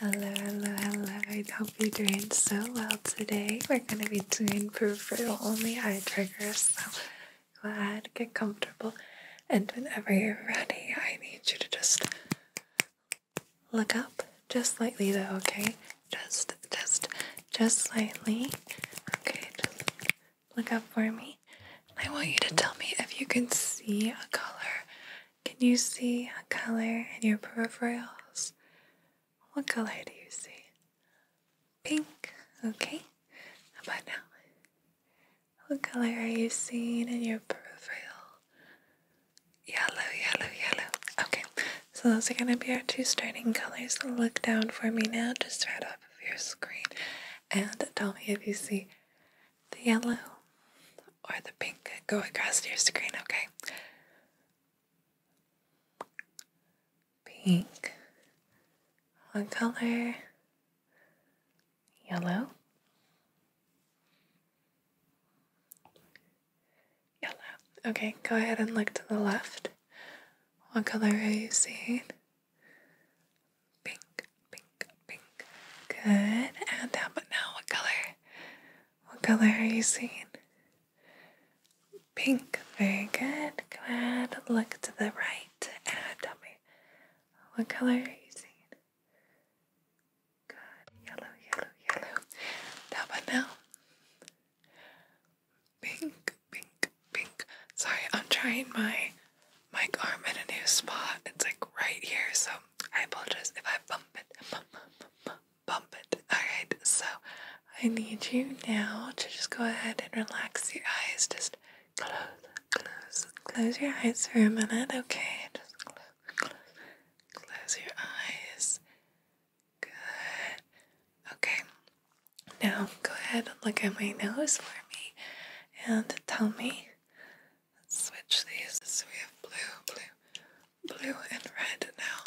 Hello, hello, hello. I hope you're doing so well today. We're going to be doing peripheral only eye triggers, so glad. ahead, get comfortable, and whenever you're ready, I need you to just look up just slightly, though, okay? Just, just, just slightly. Okay, just look up for me. I want you to tell me if you can see a color can you see a color in your peripherals? What color do you see? Pink, okay. How now? What color are you seeing in your peripheral? Yellow, yellow, yellow. Okay, so those are going to be our two starting colors. Look down for me now, just right off of your screen, and tell me if you see the yellow or the pink go across your screen, okay? Pink. One color. Yellow. Yellow. Okay, go ahead and look to the left. What color are you seeing? Pink, pink, pink, Good. And down, now what color? What color are you seeing? Pink. Very good. Go ahead. Look to the right and tell me what color are you seeing? Good. Yellow, yellow, yellow. Down, now. Pink, pink, pink. Sorry, I'm trying my mic arm in a new spot. It's like right here, so I apologize if I bump it, bump, it. Alright, so I need you now to just go ahead and relax your eyes. Just close, close, close your eyes for a minute, okay? Just close, close, close your eyes. Good. Okay. Now go ahead and look at my nose for me and tell me switch these so we have blue, blue, blue, and red now.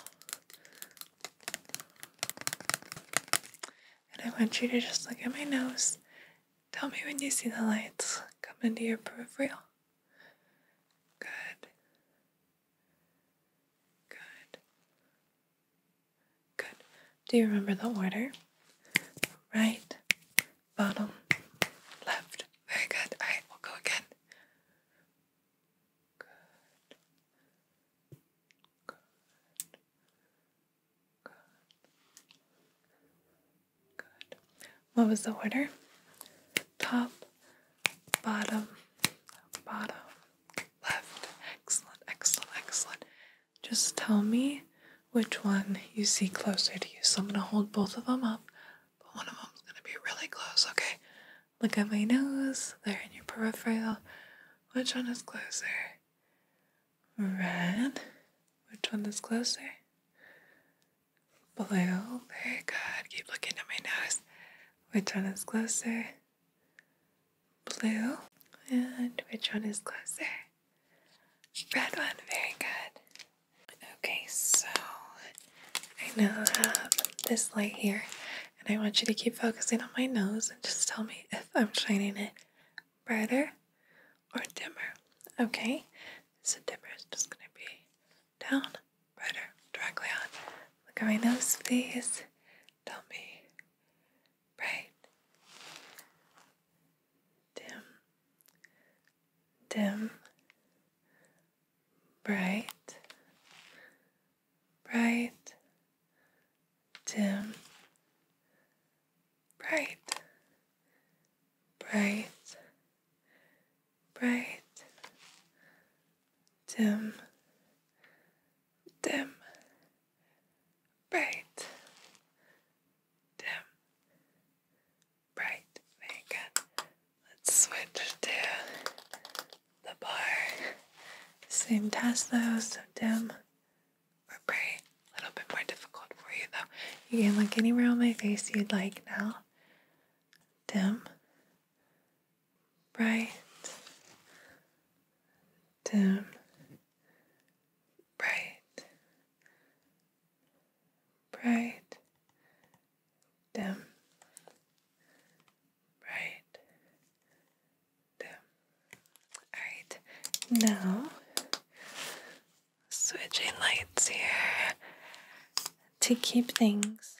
And I want you to just look at my nose. Tell me when you see the lights come into your peripheral. Good. Good. Good. Do you remember the order? Right, bottom left. Very good. All right, we'll go again. Good. Good. Good. Good. What was the order? Top, bottom, bottom, left. Excellent, excellent, excellent. Just tell me which one you see closer to you. So I'm going to hold both of them up but one of them is gonna be really close, okay? Look at my nose, they're in your peripheral. Which one is closer? Red. Which one is closer? Blue. Very good. Keep looking at my nose. Which one is closer? Blue. And which one is closer? Red one. Very good. Okay, so I now have this light here, and I want you to keep focusing on my nose and just tell me if I'm shining it brighter or dimmer. Okay, so dimmer is just going to be down, brighter, directly on. Look at my nose, please. Tell me bright, dim, dim, bright, bright, dim, bright, bright, bright, dim, dim, bright, dim, bright very let's switch to the bar same test though so dim or bright a little bit more difficult for you though you can look anywhere on my face you'd like now dim bright dim bright bright, dim, bright, dim. Alright, now switching lights here to keep things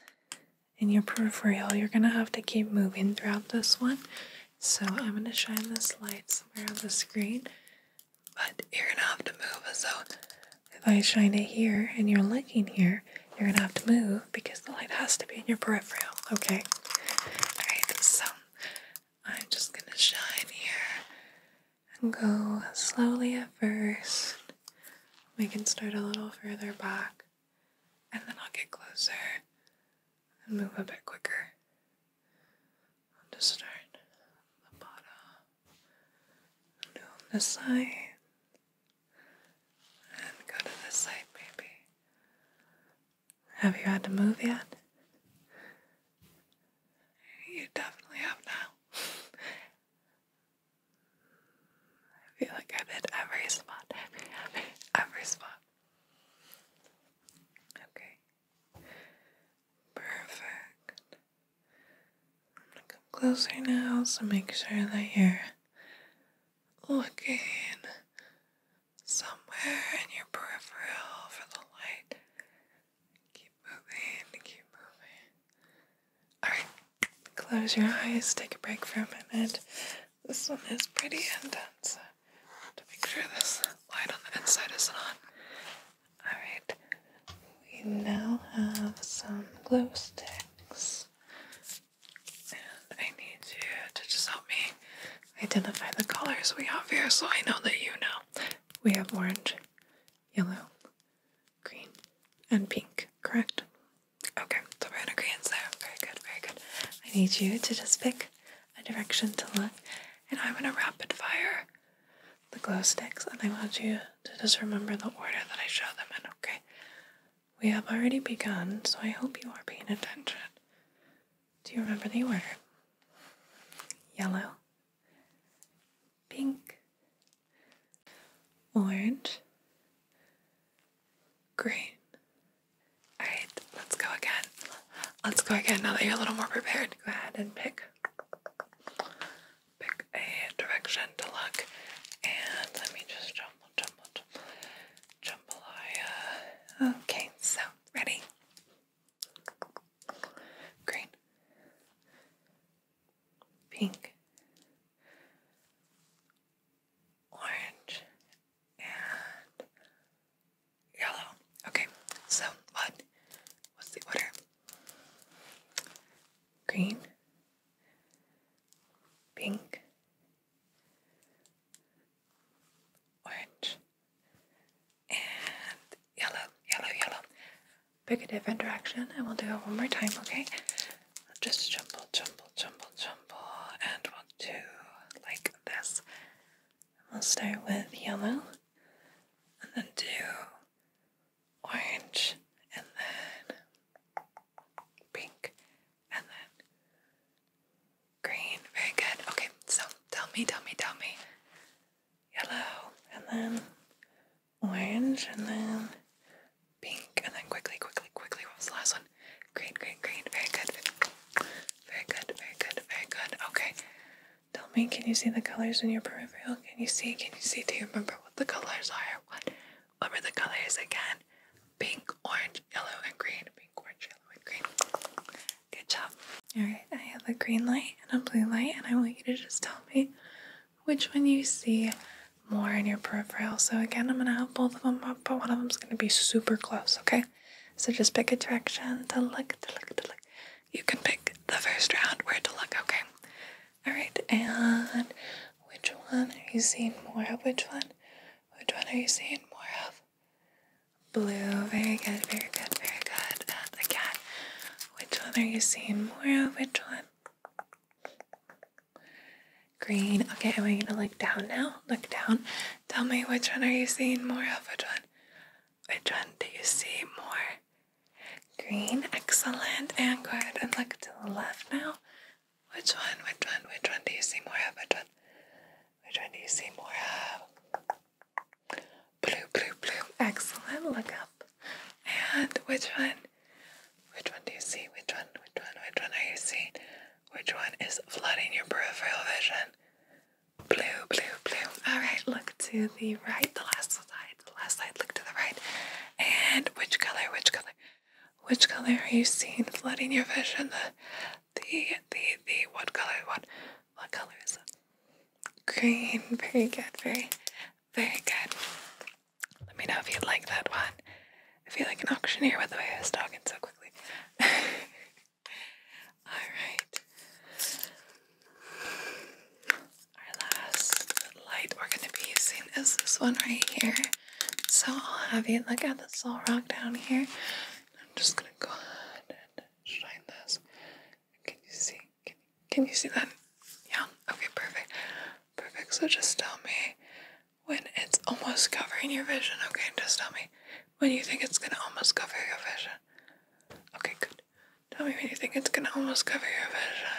in your peripheral. You're gonna have to keep moving throughout this one. So I'm gonna shine this light somewhere on the screen but you're gonna have to move. So if I shine it here and you're looking here, you're gonna have to move because the light has to be in your peripheral. Okay. Alright, so I'm just gonna shine here and go slowly at first. We can start a little further back and then I'll get closer and move a bit quicker. i start the bottom down the side and go to this side, baby. Have you had to move yet? You definitely have now. I feel like I've hit every spot. Every spot. Okay. Perfect. I'm gonna come closer now, so make sure that you're looking somewhere in your peripheral for the light. Keep moving, keep moving. Alright, close your eyes, take a break for a minute. This one is pretty intense. To make sure this light on the inside is on. Alright, we now have some glow sticks. And I need you to just help me identify the colors we have here so I know that you know. We have orange, yellow, green, and pink, correct? Okay, so we're in agreement there. Very good, very good. I need you to just pick a direction to look, and I'm gonna rapid fire the glow sticks, and I want you to just remember the order that I show them in, okay? We have already begun, so I hope you are paying attention. Do you remember the order? Yellow, pink, orange, green. Alright, let's go again. Let's go again now that you're a little more prepared. Go ahead and pick pick a direction to look and let me just jumble jumble jumble Okay, so ready? Green pink orange and yellow. Okay, so what? What's the order? Green, pink, orange, and yellow, yellow, yellow. Pick a different direction and we'll do it one more time, okay? Just jumble, jumble, jumble, jumble, and one, two, like this. We'll start with yellow and then do orange, and then pink, and then green. Very good. Okay, so tell me, tell me, tell me. Yellow, and then orange, and then pink, and then quickly, quickly, quickly. What was the last one? Green, green, green. Very good. Very good, very good, very good. Okay. Tell me, can you see the colors in your peripheral? Can you see? Can you see? Do you remember what the colors are? What? What were the colors again? Pink, orange, yellow, and green. Pink, orange, yellow, and green. Good job. Alright, I have a green light and a blue light, and I want you to just tell me which one you see more in your peripheral. So again, I'm going to have both of them up, but one of them's going to be super close, okay? So just pick a direction to look, to look, to look you can pick the first round where to look, okay? Alright, and which one are you seeing more of? Which one? Which one are you seeing more of? Blue. Very good, very good, very good. And again, which one are you seeing more of? Which one? Green. Okay, I want going to look down now. Look down. Tell me which one are you seeing more of? Which one? Which one do you see more? Green, excellent, and good. And look to the left now. Which one, which one, which one do you see more of? Which one, which one do you see more of? Blue, blue, blue, excellent. Look up. And which one, which one do you see? Which one, which one, which one are you seeing? Which one is flooding your peripheral vision? Blue, blue, blue. Alright, look to the right, the last side, the last side, look to the right. And which color, which color, which color are you seeing flooding your vision? The, the, the, the, what color, what, what color is that? Green, very good, very, very good. Let me know if you like that one. I feel like an auctioneer with the way I was talking so quickly. Alright. Our last light we're going to be using is this one right here. So I'll have you look at this little rock down here. I'm just going to go ahead and shine this. Can you see? can you see that? Yeah? Okay, perfect. Perfect. So just tell me when it's almost covering your vision. Okay, just tell me when you think it's going to almost cover your vision. Okay, good. Tell me when you think it's gonna almost cover your vision.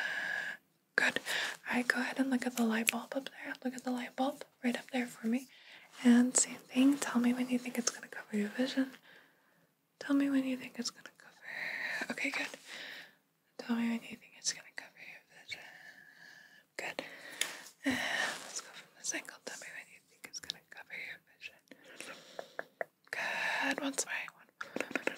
Good. Alright, go ahead and look at the light bulb up there. Look at the light bulb right up there for me. And same thing, tell me when you think it's gonna cover your vision. Tell me when you think it's gonna cover. Okay, good. Tell me when you think it's gonna cover your vision. Good. let's go from this angle. Tell me when you you gonna cover your vision. Good. Once more. Good, good,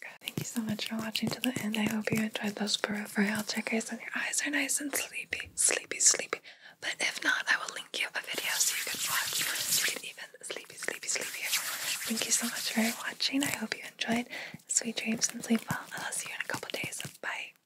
good. Thank you so much for watching to the end. I hope you enjoyed those peripheral checkers and your eyes are nice and sleepy, sleepy, sleepy. But if not, I will link you a video so you can watch. You can even sleepy, sleepy, sleepy. Thank you so much for watching. I hope you enjoyed. Sweet dreams and sleep well. I'll see you in a couple days. Bye.